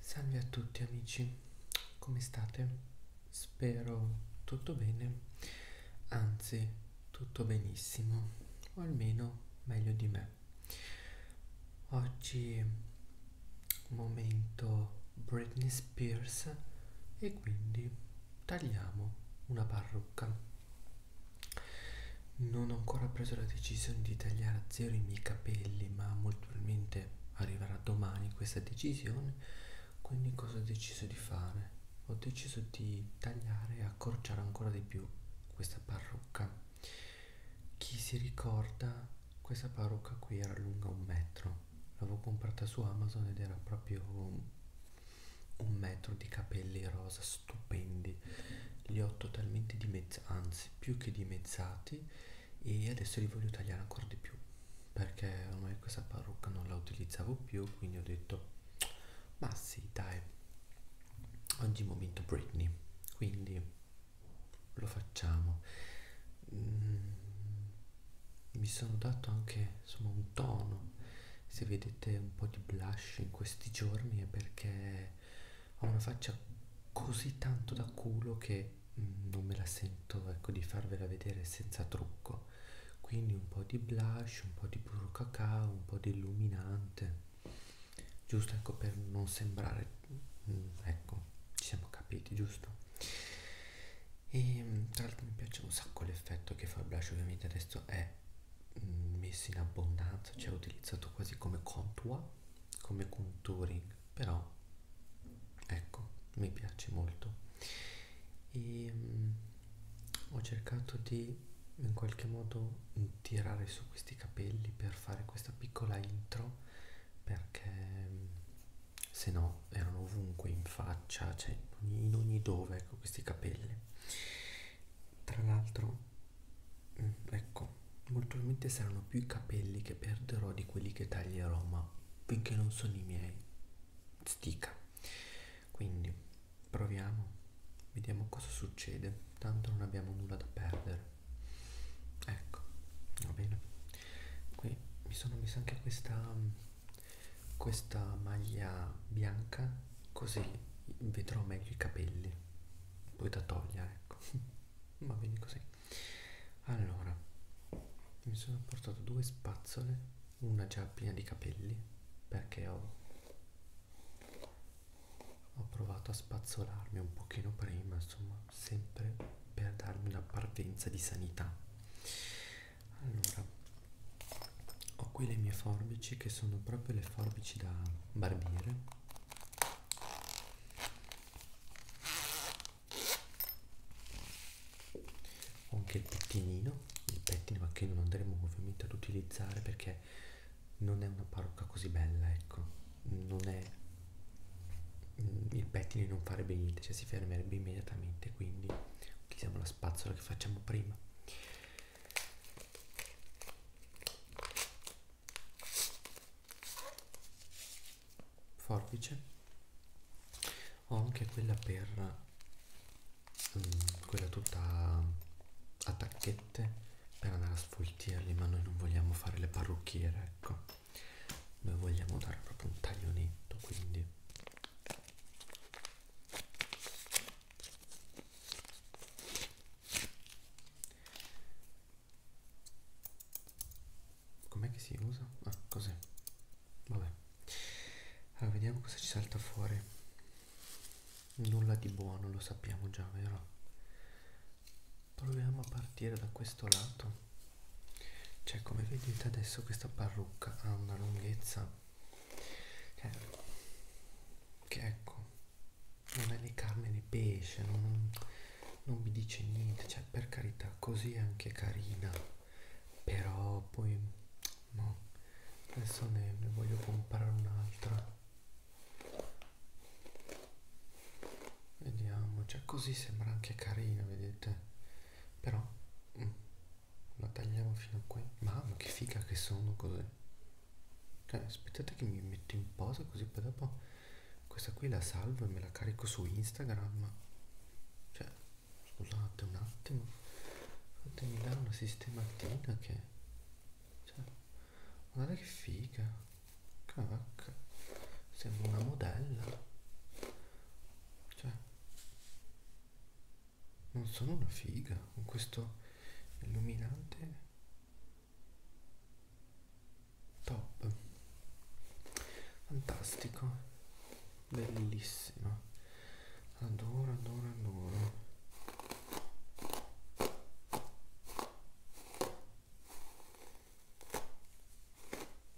Salve a tutti amici, come state? Spero tutto bene, anzi tutto benissimo, o almeno meglio di me. Oggi momento Britney Spears e quindi tagliamo una parrucca. Non ho ancora preso la decisione di tagliare a zero i miei capelli, ma molto naturalmente arriverà domani questa decisione, quindi cosa ho deciso di fare? Ho deciso di tagliare e accorciare ancora di più questa parrucca. Chi si ricorda, questa parrucca qui era lunga un metro, l'avevo comprata su Amazon ed era proprio un metro di capelli rosa stupendi, li ho totalmente dimezzati, anzi più che dimezzati e adesso li voglio tagliare ancora di più perché ormai questa parrucca non la utilizzavo più quindi ho detto ma sì dai oggi è il momento Britney quindi lo facciamo mm, mi sono dato anche insomma un tono se vedete un po' di blush in questi giorni è perché ha una faccia così tanto da culo che mm, non me la sento ecco di farvela vedere senza trucco quindi un po' di blush un po' di burro cacao un po' di illuminante giusto ecco per non sembrare mm, ecco ci siamo capiti giusto e mm, tra l'altro mi piace un sacco l'effetto che fa il blush ovviamente adesso è messo in abbondanza cioè utilizzato quasi come contour come contouring però ecco mi piace molto e ehm, mh, ho cercato di in qualche modo tirare su questi capelli per fare questa piccola intro perché mh, se no erano ovunque in faccia cioè in ogni dove ecco questi capelli tra l'altro Mm, ecco molto probabilmente saranno più i capelli che perderò di quelli che taglierò ma finché non sono i miei stica quindi proviamo vediamo cosa succede tanto non abbiamo nulla da perdere ecco va bene qui mi sono messa anche questa mm, questa maglia bianca così vedrò meglio i capelli poi da togliere ecco va bene così allora mi sono portato due spazzole una già piena di capelli perché ho, ho provato a spazzolarmi un pochino prima insomma sempre per darmi una parvenza di sanità allora ho qui le mie forbici che sono proprio le forbici da barbiere ho anche il pettinino il pettino ma che non andremo ovviamente ad utilizzare perché non è una parrucca così bella ecco non è mm, il pettine non farebbe niente cioè si fermerebbe immediatamente quindi utilizziamo la spazzola che facciamo prima forbice ho anche quella per mh, mm, quella tutta a tacchette per andare a sfoltirli ma noi non vogliamo fare le parrucchiere ecco noi vogliamo dare proprio un taglio netto quindi com'è che si usa? ah cos'è? vabbè allora vediamo cosa ci salta fuori nulla di buono lo sappiamo già vero? proviamo a partire da questo lato cioè come vedete adesso questa parrucca ha una lunghezza che, che ecco non è né carne né pesce, non, non mi dice niente, cioè per carità così è anche carina, però poi no, adesso ne, ne voglio comprare un'altra. Vediamo, cioè così sembra anche carina, vedete? Però mm, la tagliamo fino a qui. Mamma che figa che sono così. Cioè, aspettate che mi metto in posa così poi dopo questa qui la salvo e me la carico su Instagram cioè scusate un attimo fatemi dare una sistematina che cioè, guarda che figa cavacca sembra una modella cioè non sono una figa con questo illuminante top fantastico bellissimo adoro adoro adoro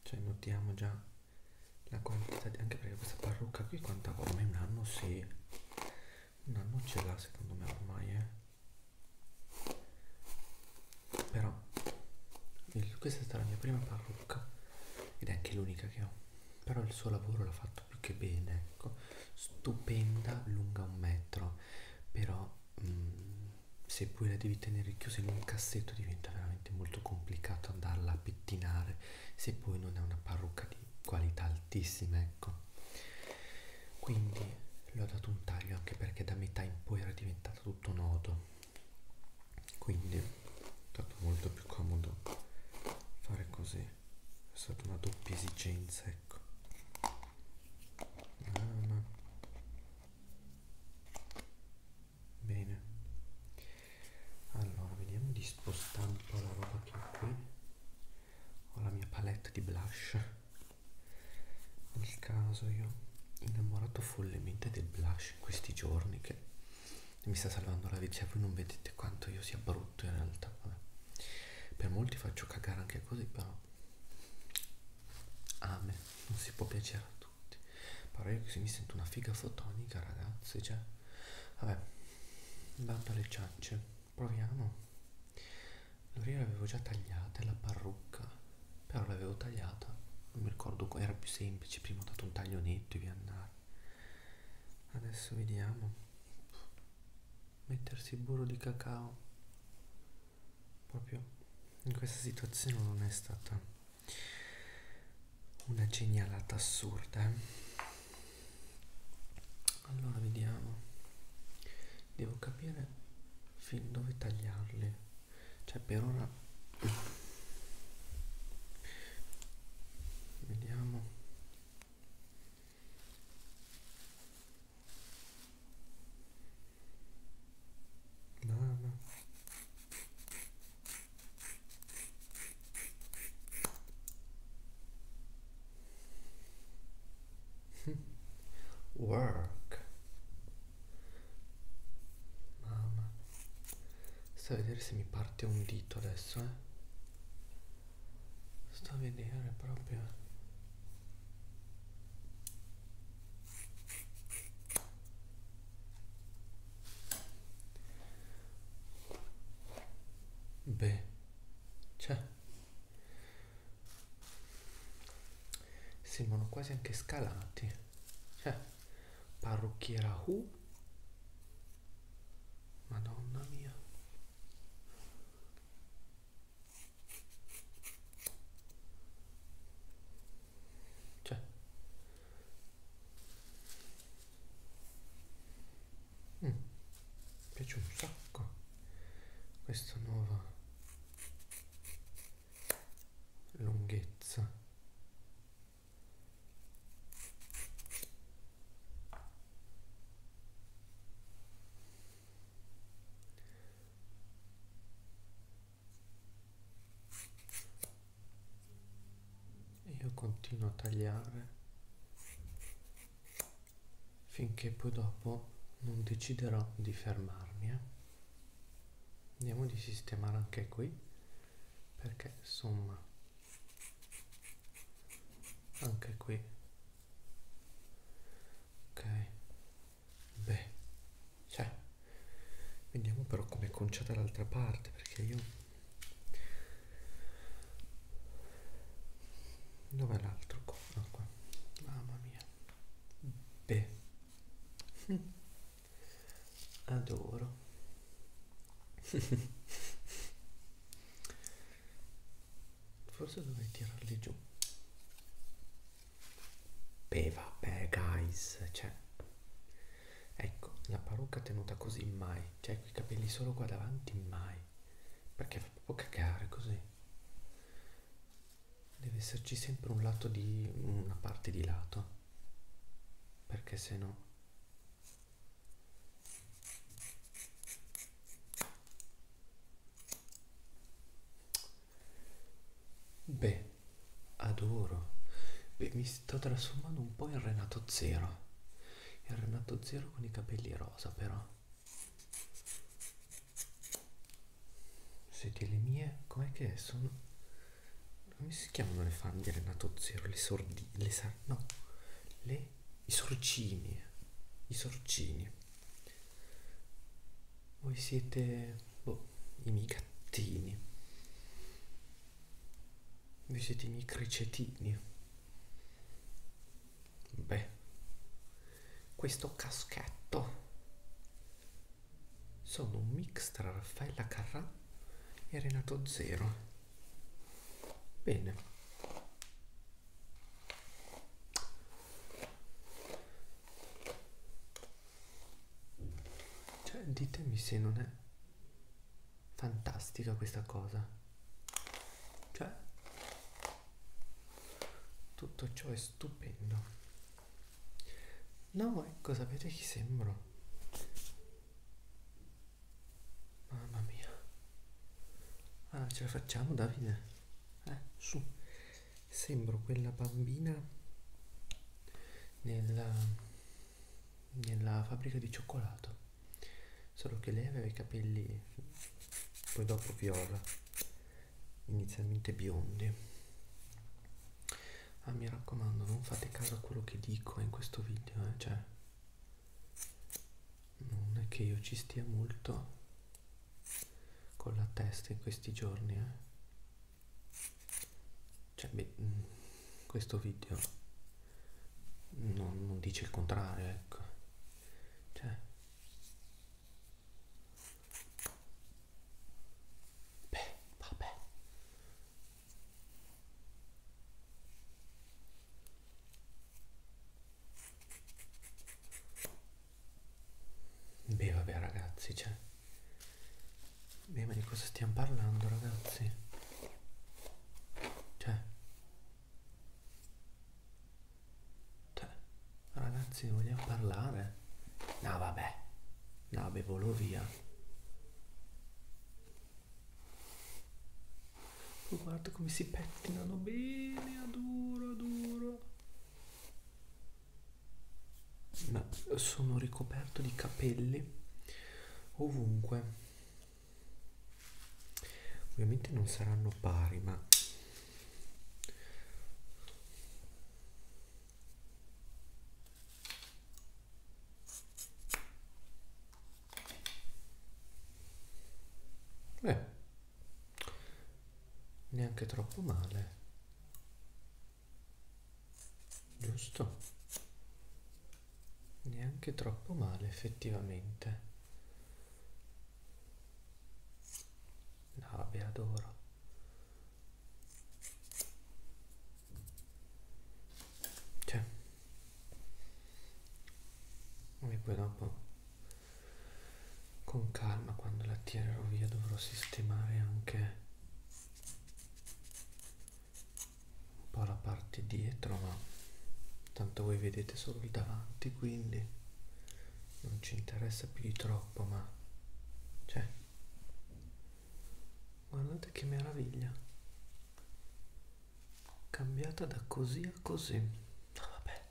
cioè notiamo già la quantità di anche perché questa parrucca qui quanta ormai un anno si sì. un anno ce l'ha secondo me ormai eh però il, questa è stata la mia prima parrucca ed è anche l'unica che ho. Però il suo lavoro l'ha fatto più che bene, ecco. Stupenda, lunga un metro. Però mh, mm, se poi la devi tenere chiusa in un cassetto diventa veramente molto complicato andarla a pettinare se poi non è una parrucca di qualità altissima, ecco quindi le ho dato un taglio anche perché da metà in poi era diventato tutto nodo quindi è stato molto più comodo fare così è stata una doppia esigenza ecco ah, bene allora vediamo di spostare un po' la roba che ho qui ho la mia palette di blush nel caso io innamorato follemente del blush in questi giorni che mi sta salvando la vita, cioè voi non vedete quanto io sia brutto in realtà, vabbè. per molti faccio cagare anche così però a me non si può piacere a tutti, però io così mi sento una figa fotonica ragazzi, cioè vabbè, bando alle ciance, proviamo l'orecchia l'avevo già tagliata, la parrucca, però l'avevo tagliata, non mi ricordo, era più semplice, prima ho dato un taglio netto e via andare. Adesso vediamo, mettersi burro di cacao, proprio in questa situazione non è stata una genialata assurda. Eh? Allora vediamo, devo capire fin dove tagliarli cioè per ora vediamo Mamma work mamma sto a vedere se mi parte un dito adesso eh sto a vedere proprio beh cioè sembrano quasi anche scalati cioè parrucchiera Hu madonna mia cioè mm. mi piace un sacco questa nuova lunghezza io continuo a tagliare finché poi dopo non deciderò di fermarmi eh? andiamo di sistemare anche qui perché somma anche qui ok beh cioè vediamo però come è conciata l'altra parte perché io dov'è l'altro qua? Ah, qua mamma mia beh Adoro. Forse dovrei tirarli giù. Beh, vabbè, guys, cioè. Ecco, la parrucca tenuta così mai. Cioè, i capelli solo qua davanti mai. Perché fa proprio cagare così deve esserci sempre un lato di una parte di lato perché se no beh adoro beh mi sto trasformando un po' in Renato Zero il Renato Zero con i capelli rosa però Senti le mie, com'è che sono? Come si chiamano le fanghie Renato Zero? Le sordine, le sar... no, le... i sorcini, i sorcini. Voi siete, boh, i miei gattini. Voi siete i miei cricetini. Beh, questo caschetto sono un mix tra Raffaella Carrà e Renato Zero. Bene. Cioè, ditemi se non è fantastica questa cosa. Cioè, tutto ciò è stupendo. No, ecco, sapete chi sembro? Mamma mia. Allora, ah, ce la facciamo, Davide? Eh, su. Sembro quella bambina nella, nella fabbrica di cioccolato. Solo che lei aveva i capelli poi dopo viola inizialmente biondi ah mi raccomando non fate caso a quello che dico in questo video eh? cioè non è che io ci stia molto con la testa in questi giorni eh? cioè beh, mm, questo video non, non dice il contrario ecco cioè Beh, vabbè. Beh, vabbè ragazzi, cioè... Beh, ma di cosa stiamo parlando, ragazzi? Cioè... Cioè... Ragazzi, vogliamo parlare? No, vabbè. No, beh, volo via. Oh, guarda come si pettinano bene, a duro, a duro. Ma sono ricoperto di capelli ovunque. Ovviamente non saranno pari, ma Beh, neanche troppo male. Giusto? Neanche troppo male effettivamente. No, vabbè, adoro. Cioè. E poi dopo, con calma, quando la tirerò via, dovrò sistemare anche un po' la parte dietro, ma tanto voi vedete solo il davanti, quindi non ci interessa più di troppo, ma... Cioè, guardate che meraviglia cambiata da così a così ah, vabbè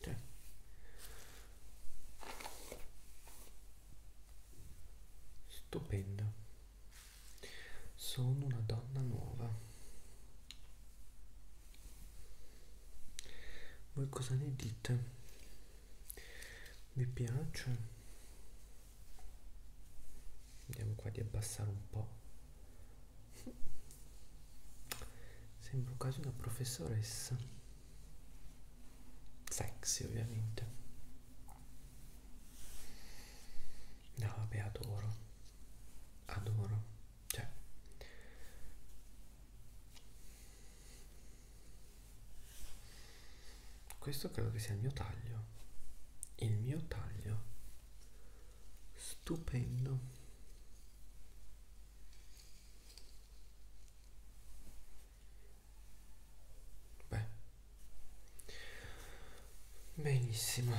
cioè. stupenda sono una donna nuova voi cosa ne dite? vi piace? vediamo qua di abbassare un po' sembro quasi una professoressa sexy ovviamente no vabbè adoro adoro cioè. Questo credo che sia il mio taglio. Il mio taglio. Stupendo. Beh. Benissimo.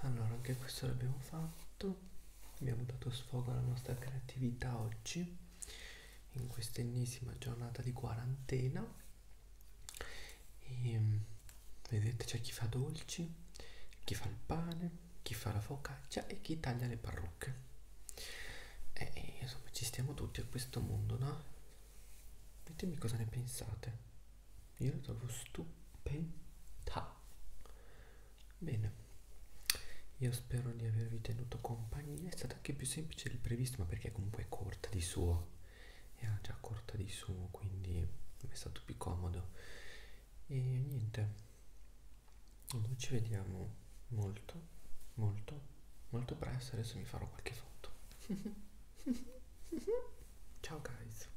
Allora, anche questo l'abbiamo fatto tutto abbiamo dato sfogo alla nostra creatività oggi in questa ennesima giornata di quarantena e ehm, vedete c'è chi fa dolci chi fa il pane chi fa la focaccia e chi taglia le parrucche e insomma ci stiamo tutti a questo mondo no ditemi cosa ne pensate io la trovo stupenda bene io spero di avervi tenuto compagnia è stata anche più semplice del previsto ma perché comunque è corta di suo era ah, già corta di suo quindi è stato più comodo e niente noi ci vediamo molto molto molto presto adesso mi farò qualche foto ciao guys